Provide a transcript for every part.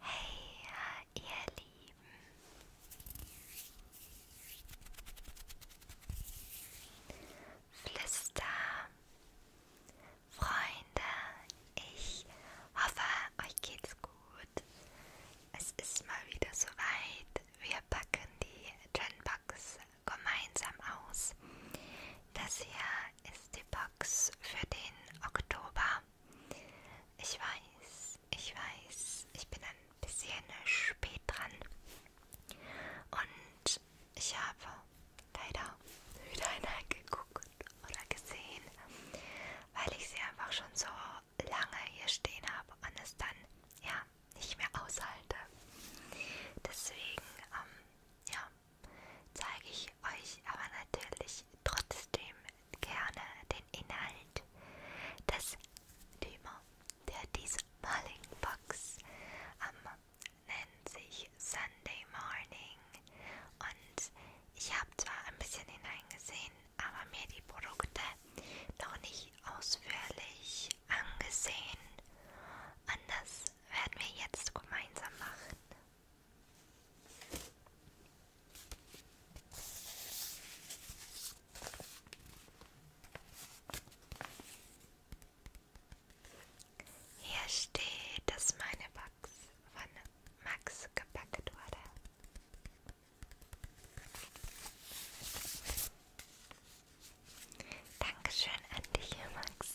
Hey, ihr Lieben. Flüster, Freunde, ich hoffe, euch geht's gut. Es ist mal wieder soweit. Wir packen die Genbox gemeinsam aus. Das hier ist die Box für den Oktober. Ich weiß, ich weiß, ich bin ein bisschen spät dran. Und ich habe leider wieder hineingeguckt oder gesehen, weil ich sie einfach schon so lange hier stehen habe und es dann ja nicht mehr aushalte. Deswegen, ähm, ja, zeige ich euch aber natürlich trotzdem gerne den Inhalt des Thema der diesmaligen Box. Um, nennt sich Sunday Morning und ich habe zwar ein bisschen hineingesehen, aber mir die Produkte noch nicht ausführlich angesehen. Und das werden wir jetzt gemeinsam machen. Hier steht, dass meine Box von Max gepackt wurde. Dankeschön an dich, Max.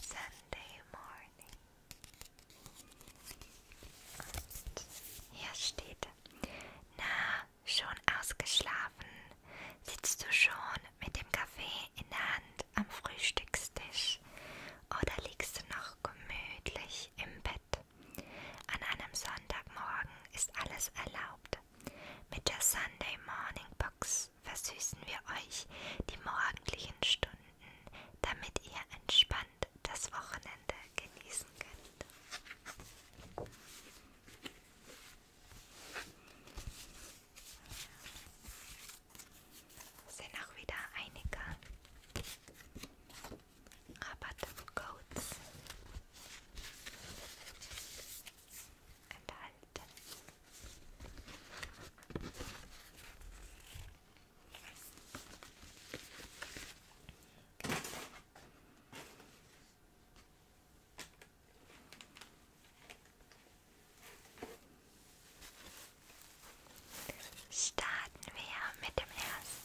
Sunday morning. Und hier steht, na, schon ausgeschlafen, sitzt du schon mit dem Kaffee in der Hand am Frühstückstisch oder liegst du noch gemütlich im Bett? Bett. An einem Sonntagmorgen ist alles erlaubt. Mit der Sunday Morning Box versüßen wir euch die morgendlichen Stunden, damit ihr entspannt das Wochenende genießen könnt. Es sind auch wieder einige. Rabattcodes enthalten. Starten wir mit dem ersten.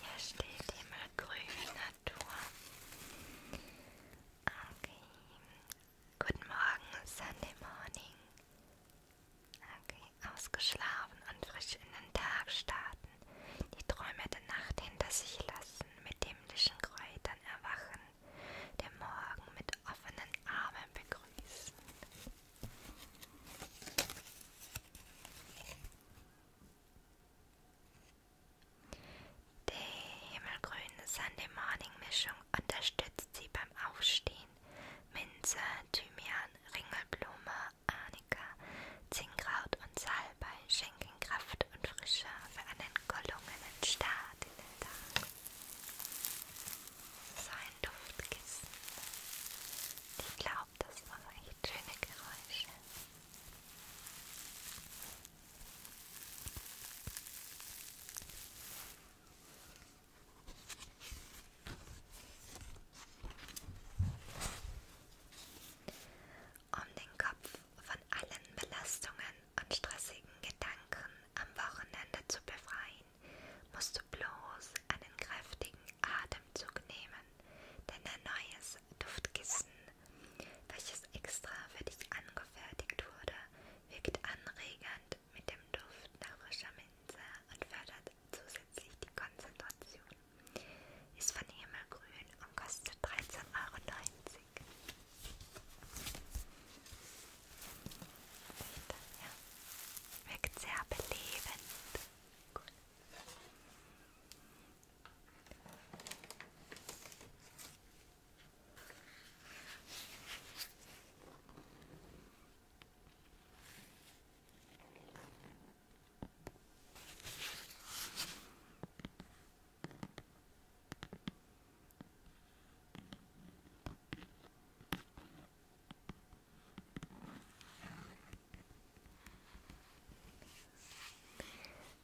Hier steht immer grüne Natur. Okay. Guten Morgen, Sunday Morning. Okay, ausgeschlafen und frisch in den Tag starten. Die Träume der Nacht hinter sich lassen, mit himmlischen Kräutern erwachen, den Morgen mit offenen Armen begrüßen. Die himmelgrüne Sunday Morning Mischung unterstützt Sie beim Aufstehen. Minze, Thymian, Ringelblume, Arnika, Zinnkraut und Salbei schenken Kraft und Frische für einen gelungenen Start in den Tag sein Duftkissen. Ich glaube, das macht echt schöne Geräusche. Um den Kopf von allen Belastungen und stressigen Gedanken am Wochenende zu befreien, musst du bloß einen kräftigen Atemzug nehmen, denn ein neues Duftkissen, welches extra für dich angefertigt wurde, wirkt anregend mit dem Duft nach frischer Minze und fördert zusätzlich die Konzentration. Ist von Himmelgrün und kostet 13,90 Euro. Ja. Wirkt sehr belebend. Cool. Cool.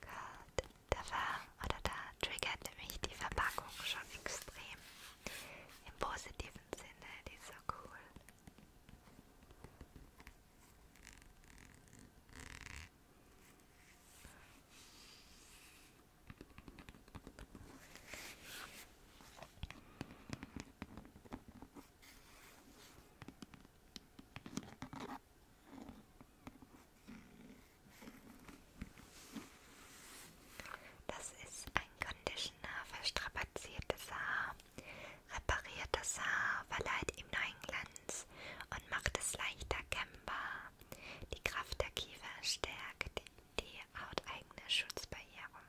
Gut, da war oder da triggerte mich die Verpackung schon extrem. Im positiven Sinne, die ist so cool. Das ist ein Conditioner für strapaziertes Haar, repariert das Haar, verleiht ihm neuen Glanz und macht es leichter kämmbar. Die Kraft der Kiefer stärkt die die hauteigene Schutzbarriere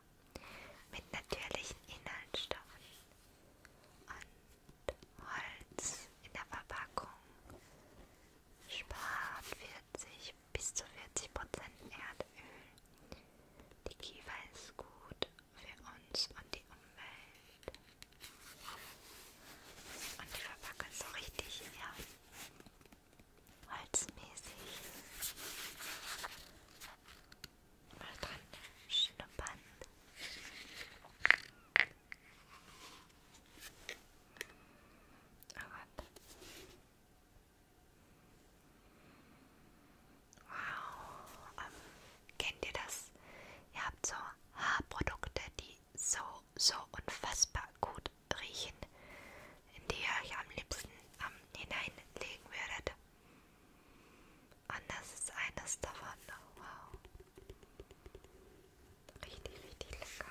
mit natürlichen Inhaltsstoffen und Holz in der Verpackung spart 40 bis zu 40 Prozent Erdöl. Die Kiefer ist gut für uns und die Umwelt. Und die Verpackung ist so richtig, ja, holzmäßig mal dran schnuppern. Oh Gott. Wow. Ähm, kennt ihr das? Ihr habt so Haarprodukte, die so, so unfassbar gut riechen, in die ihr euch am liebsten ähm, hineinlegen würdet. Und das ist eines davon. Oh, wow. Richtig, richtig lecker.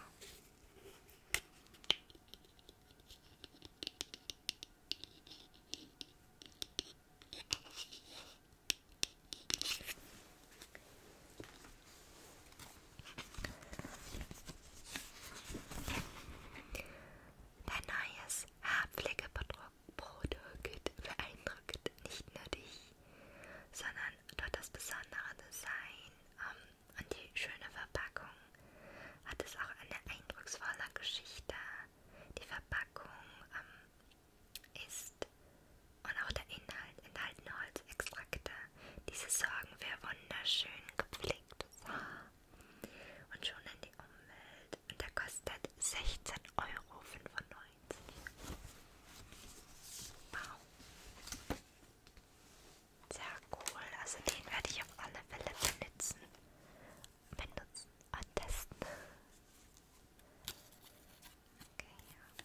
Dein neues Haarpflegeprodukt beeindruckt nicht nur dich, sondern durch das besondere Design ähm, und die schöne Verpackung hat es auch eine eindrucksvolle Geschichte. Die Verpackung ähm, ist und auch der Inhalt enthalten Holzextrakte. Diese sorgen für wunderschön gepflegtes Haar und schonen die Umwelt. Der kostet 16,95 Euro. Wow. Sehr cool. Also den werde ich auf alle Fälle benutzen. Benutzen und testen. Okay, ja.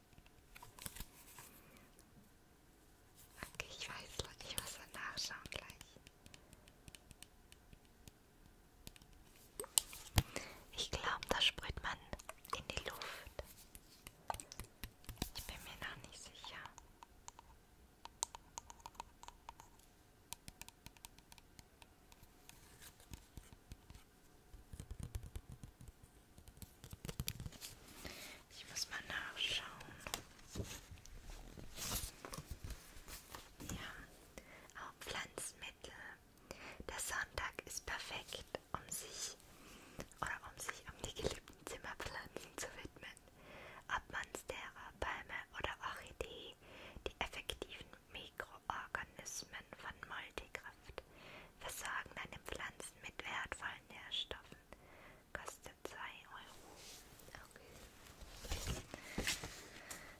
Okay, ich weiß, ich muss dann nachschauen gleich. Ich glaube, da sprüht man in die Luft. Ich bin mir noch nicht sicher. Ich muss mal nachschauen. Ja, auch Pflanzmittel. Der Sonntag ist perfekt, um sich oder um sich um die geliebten Zimmerpflanzen zu widmen. Ob Monstera, Palme oder Orchidee, die effektiven Mikroorganismen von Multikraft Frucht, versorgen deine Pflanzen mit wertvollen Nährstoffen. Kostet 2 Euro. Okay.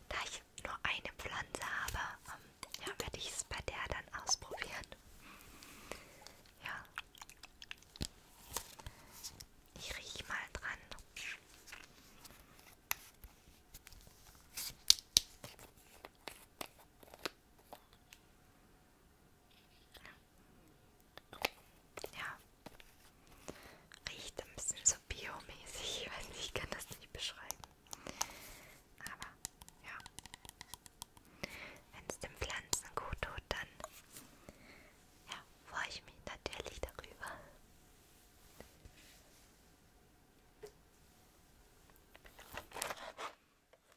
Da ich nur eine Pflanze habe, um, ähm, ja, werde ich es bei der dann ausprobieren. Ja. Ich rieche mal dran. Ja. Riecht ein bisschen so biomäßig. Ich weiß nicht, ich kann das nicht beschreiben. Aber ja. Wenn es den Pflanzen gut tut, dann ja, freue ich mich natürlich darüber.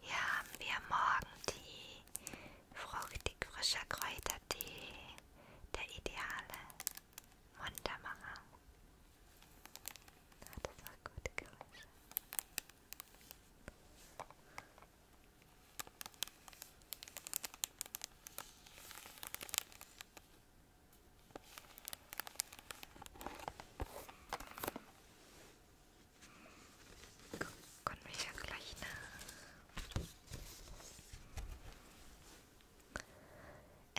Hier haben wir Morgentee, fruchtig frischer Kräutertee, der ideale Muntermacher. Hat das auch gute Geräusche. Kommen wir ja gleich nach.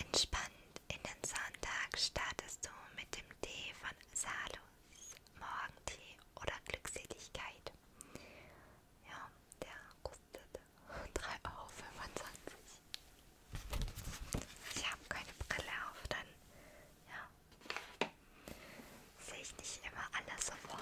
Entspannt in den Sonntag startest du mit dem Tee von Salo. Morgentee oder Glückseligkeit. Ja, der kostet 3,25 Euro. Ich habe keine Brille auf, dann ja, sehe ich nicht immer alles sofort.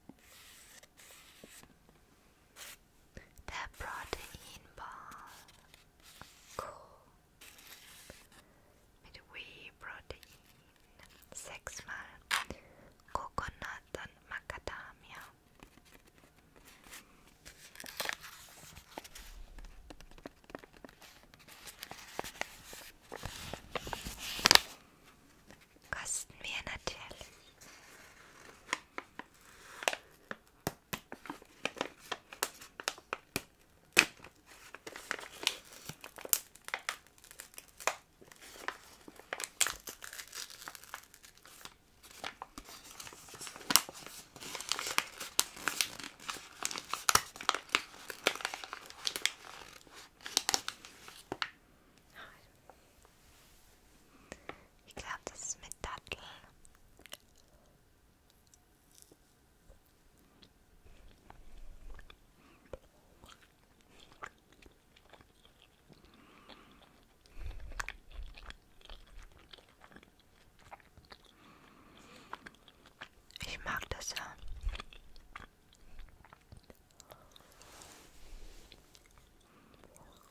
The protein bar. Cool. Midway protein. Sechsmal Coconut und Macadamia. kosten wir natürlich. Ich glaube, das ist mit Dattel. Ich mag das ja.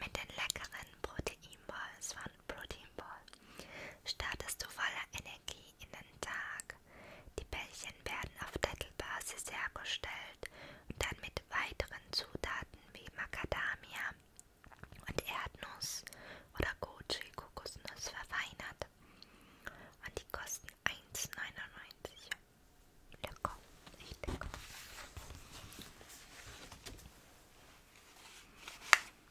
mit den leckeren Protein Balls von Protein Ball startest du voller Energie in den Tag. Die Bällchen werden auf Dattelbasis hergestellt und dann mit weiteren Zutaten wie Macadamia und Erdnuss oder Goji Kokosnuss verfeinert. Und die kosten 1,99. Lecker, echt lecker.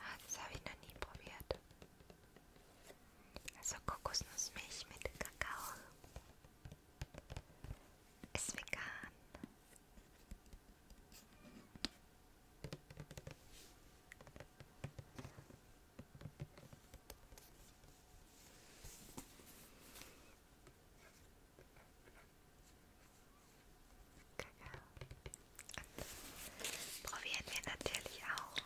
Ah, das habe ich noch nie probiert. Also Kokosnussmilch mit Kakao. Ist vegan. Kakao. Probieren wir natürlich auch.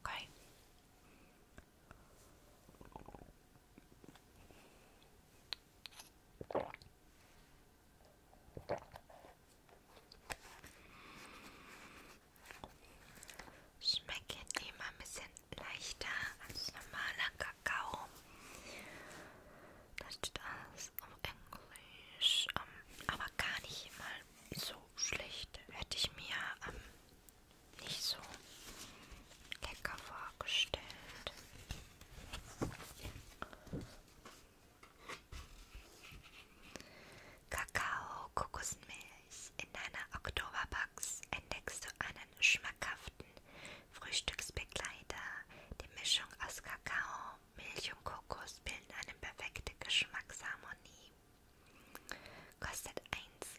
Okay. Schmeckt jetzt immer ein bisschen leichter als normaler Kakao. Das steht alles auf Englisch, um, ähm, aber gar nicht mal so schlecht. Hätte ich mir am ähm, nicht so lecker vorgestellt. Kakao Kokosmilch. In deiner Oktoberbox entdeckst du einen schmackhaften Frühstücksbegleiter. Die Mischung aus Kakao, Milch und Kokos bilden eine perfekte Geschmacksharmonie. Kostet 1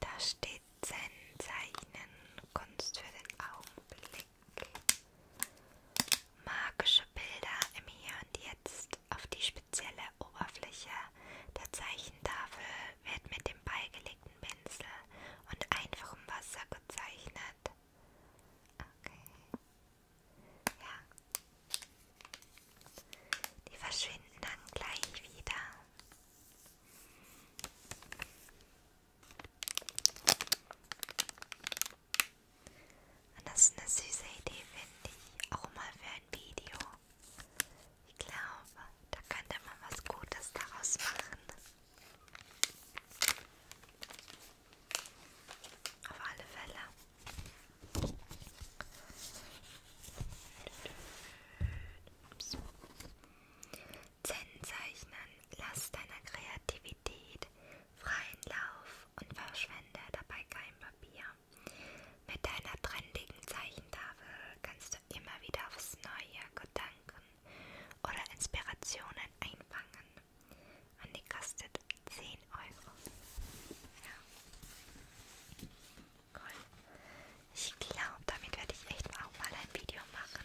Da steht Zen Zeichnen, Kunst für den Augenblick. Magische Bilder im Hier und Jetzt auf die spezielle Oberfläche der Zeichentafel wird mit dem beigelegten Pinsel und einfachem Wasser gezeichnet. Okay. Ja. Die verschwinden dann gleich wieder. Und das ist eine süße Idee, finde ich. Auch mal für ein Video. Ich glaube, da könnte man was Gutes daraus machen. Auf alle Fälle. Zen zeichnen, lass deiner Kreativität freien Lauf und verschwende dabei kein Papier. Mit deiner trendigen Zeichentafel kannst du immer wieder aufs Neue Gedanken oder Inspirationen einfangen. Und die kostet 10 Euro. Ja. Cool. Ich glaube, damit werde ich echt auch mal ein Video machen.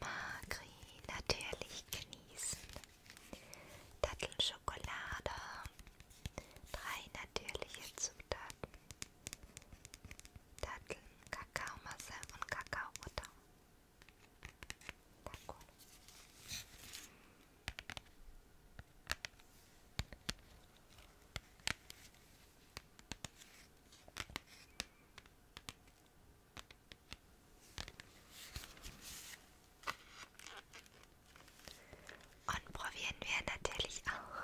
Magri natürlich genießen. Dattelschokolade. Drei natürliche Zutaten. Datteln, Kakaomasse und Kakaobutter. Und probieren wir natürlich auch.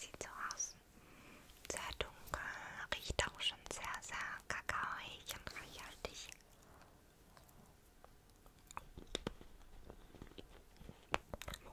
Sieht so aus. Sehr dunkel, riecht auch schon sehr, sehr kakaoig und reichhaltig.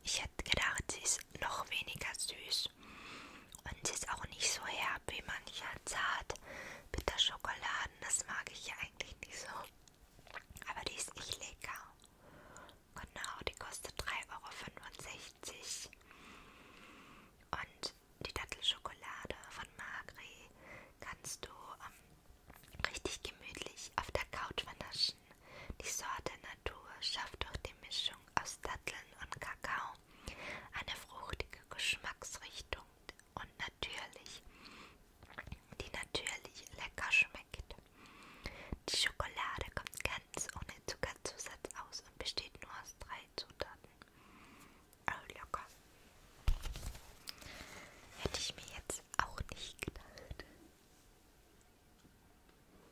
Ich hätte gedacht, sie ist noch weniger süß. Und sie ist auch nicht so herb wie mancher zart. Bitter Schokoladen, das mag ich ja eigentlich nicht so. Aber die ist echt lecker. Genau, die kostet 3,65 Euro. Und die Dattelschokolade von Magri kannst du ähm, richtig gemütlich auf der Couch, wenn das Menschen. Die Sorte Natur schafft durch die Mischung aus Datteln und Kakao eine fruchtige Geschmacksrichtung und natürlich, die natürlich lecker schmeckt. Die Schokolade kommt ganz ohne Zuckerzusatz aus und besteht nur aus drei Zutaten. Oh, locker. Hätte ich mir jetzt auch nicht gedacht.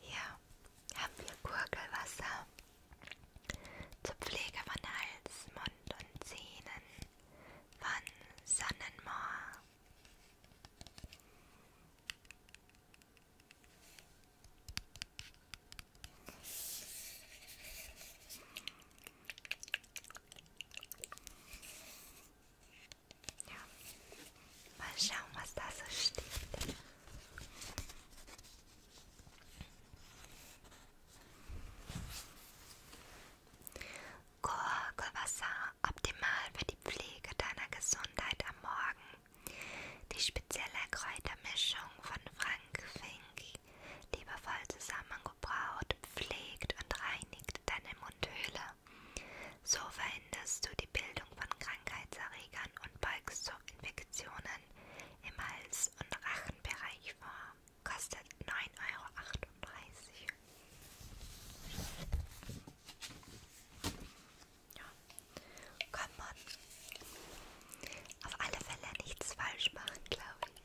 Hier haben wir Gurgelwasser zur Pflege von Hals, Mund und Zähnen von Sonnenmoor. Ja. Mal schauen, was da so steht. Gorgelwasser, optimal für die Pflege deiner Gesundheit am Morgen. Die spezielle Kräutermischung von Frank Fink, liebevoll zusammengebraut, pflegt und reinigt deine Mundhöhle so verhinderst du die Bildung von Krankheitserregern und beugst so Infektionen im Hals- und Rachenbereich vor. Kostet 9,38 Euro. Ja. Komm on. Auf alle Fälle nichts falsch machen, glaube ich.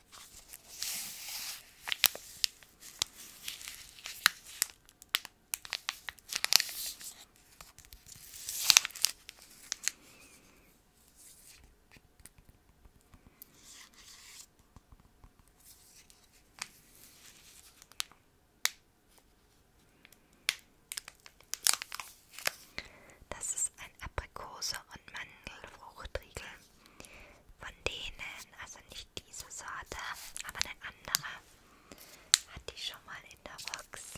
Das ist ein Aprikose- und Mandelfruchtriegel von denen, also nicht diese Sorte, aber eine andere, hat die schon mal in der Box.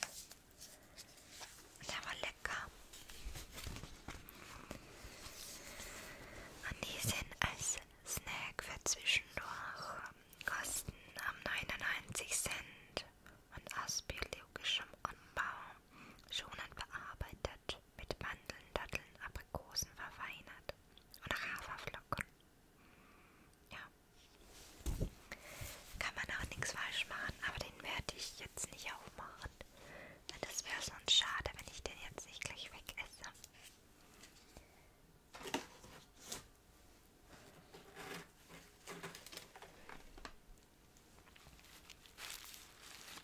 Und der war lecker. Und die sind als Snack für zwischendurch, ähm, kosten am ähm, 99 Cent und aus biologischem Anbau schonend bearbeitet mit Mandeln, Datteln, Aprikosen verfeinert und Haferflocken. Ja. Kann man auch nichts falsch machen, aber den werde ich jetzt nicht aufmachen. Denn das wäre sonst schade, wenn ich den jetzt nicht gleich weg esse.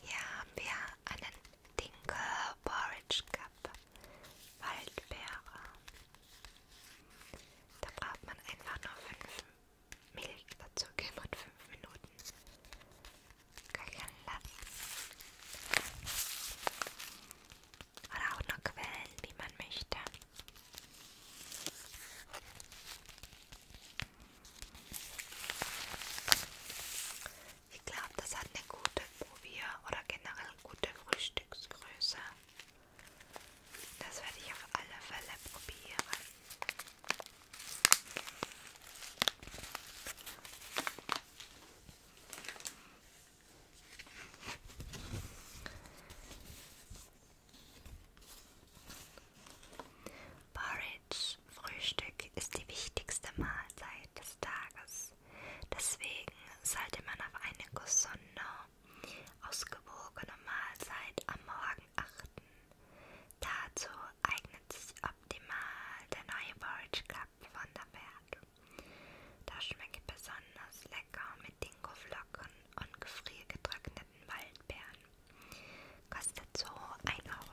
Hier haben wir einen Dinkel Porridge Cup Waldbeere. Da braucht man einfach nur 5 Milch dazu geben und 5 Minuten köcheln lassen. Oder auch nur Quellen, wie man möchte. Ich glaube, das hat eine gute Probier- oder generell gute Frühstücksgröße. Das werde ich auf alle Fälle probieren. Porridge, Frühstück, ist die wichtigste Mahlzeit des Tages. Deswegen sollte man auf eine gesunde, ausgewogene Mahlzeit am Morgen achten. Dazu eignet sich optimal der neue Porridge von der Wert. Das schmeckt besonders lecker mit Dingo-Flocken und gefriergetrockneten Waldbeeren. Kostet so 1,50 Euro.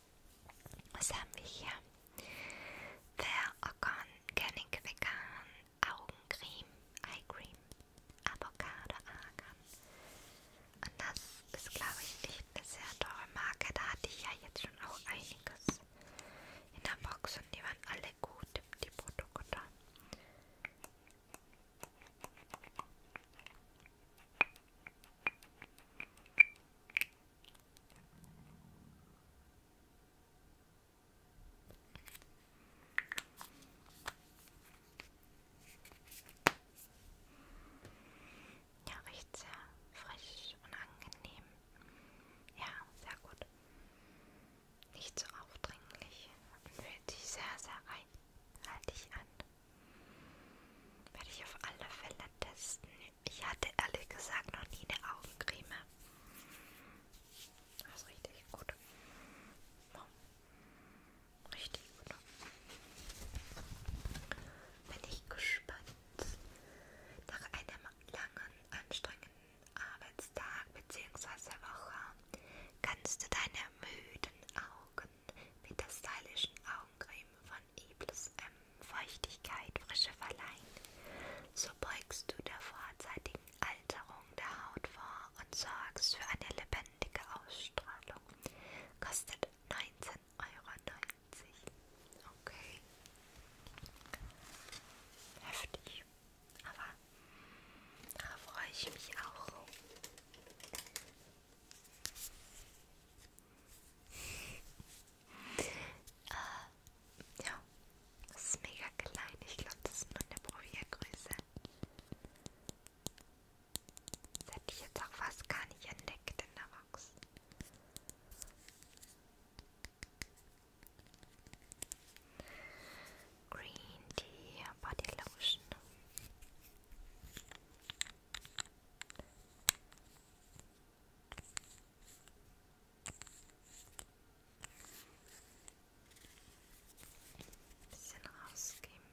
Was haben wir hier? The Ocon Canning Vegan Augencreme, Eye Cream, Avocado Argan. Und das ist, glaube ich, echt eine sehr teure Marke. Da hatte ich ja jetzt schon auch einiges in der Box und die waren alle gut, die Produkte. Ja, riecht sehr frisch und angenehm. Ja, sehr gut. Nicht so aufdringlich und fühlt sich sehr, sehr reinhaltig an. Werde ich auf alle Fälle testen ich hatte ehrlich gesagt noch nie eine Augencreme. Das ist richtig gut. Richtig gut. Bin ich gespannt. Nach einem langen, anstrengenden Arbeitstag bzw. Woche kannst du deine müden Augen mit der stylischen Augencreme von Iblis Feuchtigkeit, Frische verleihen. So beugst du der vorzeitigen Alterung der Haut vor und sorgst für eine lebendige Ausstrahlung. Kostet 19,90 Euro. Okay. Heftig. Aber da freue ich mich auch. Äh, ja, das ist mega klein. Ich glaube, das ist nur eine Probiergröße. Das hätte ich jetzt auch fast gar nicht entdeckt in der Box. Green Tea Body Lotion. Ein bisschen rausgeben.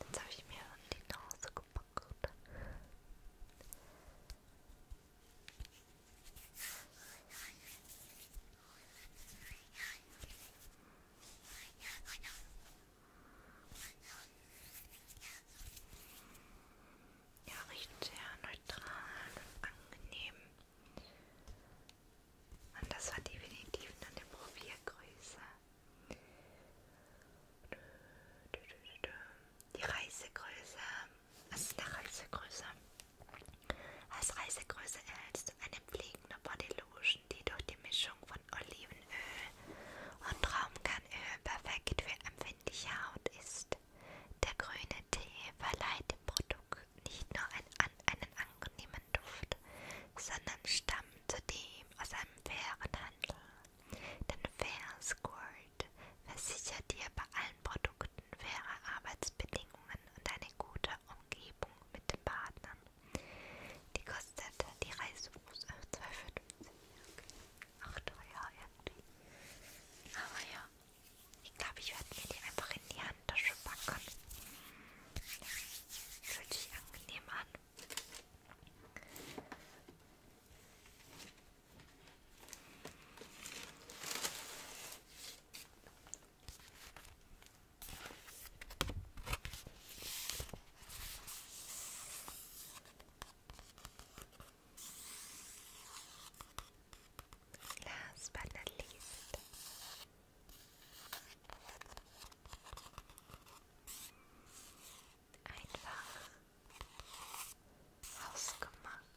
Ja, jetzt habe ich mir an die Nase gepackt. Ja, riecht sehr neutral und angenehm. Und das war definitiv nur eine Probiergröße. Die Reisegröße was ist eine Reisegröße? Als Reisegröße erhältst du eine fliegende Bodylotion, die durch die Mischung von Olivenöl und Traumkernöl perfekt für empfindliche Haut ist. Der grüne Tee verleiht dem Produkt nicht nur ein, an, einen angenehmen Duft, sondern stammt zudem aus einem fairen Handel. Denn Fair Squirt versichert dir bei allen Produkten faire Arbeitsbedingungen Beziehungen und eine gute Umgebung mit den Partnern. Die kostete die Reise 2,50. Ach teuer irgendwie. Aber ja, ich glaube, ich werde mir die einfach in die Handtasche packen. Fühlt sich angenehm an. Last but not least, einfach hausgemacht.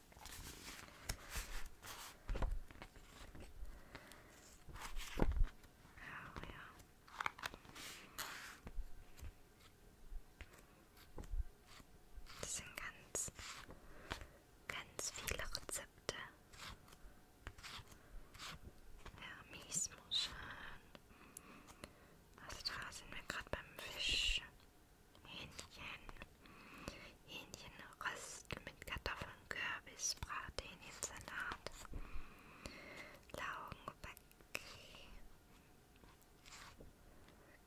Oh, ja. Das sind ganz, ganz viele Rezepte. Ja, Miesmuscheln. Also da sind wir gerade beim Fisch. Hähnchen, Hähnchenrost mit Kartoffeln, Kürbis, Brathähnchensalat, Laugenback,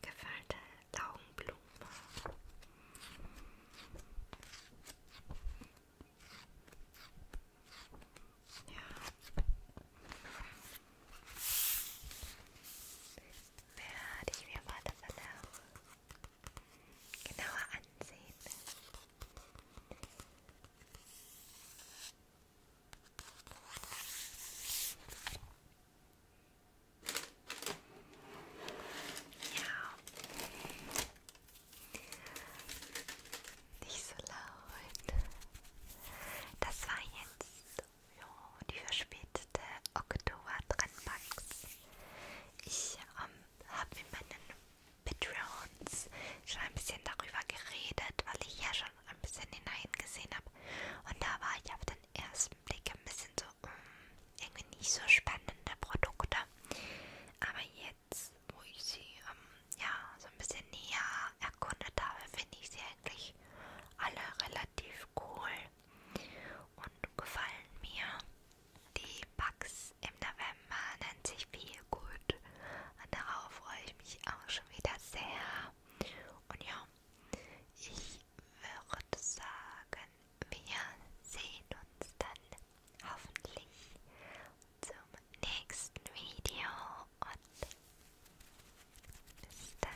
gefüllte Laugenblume, ja werde ich mir mal das auch genauer ansehen. Ja. Nicht so laut. Das war jetzt Jo, die verspätete Oktober Trendbox. Ich ähm, habe mit meinen Patreons schon ein bisschen darüber geredet, weil ich ja schon ein bisschen hineingesehen habe. Und da war ich auf den ersten Blick ein bisschen so, mm, irgendwie nicht so spannende Produkte. Aber jetzt, wo ich sie ähm, ja so ein bisschen näher erkundet habe, finde ich sie eigentlich alle relativ cool und gefallen mir. Die Bugs im November nennt sich viel gut und darauf freue ich mich auch schon wieder sehr. Und ja, ich würde sagen, wir sehen uns dann hoffentlich zum nächsten Video und bis dann.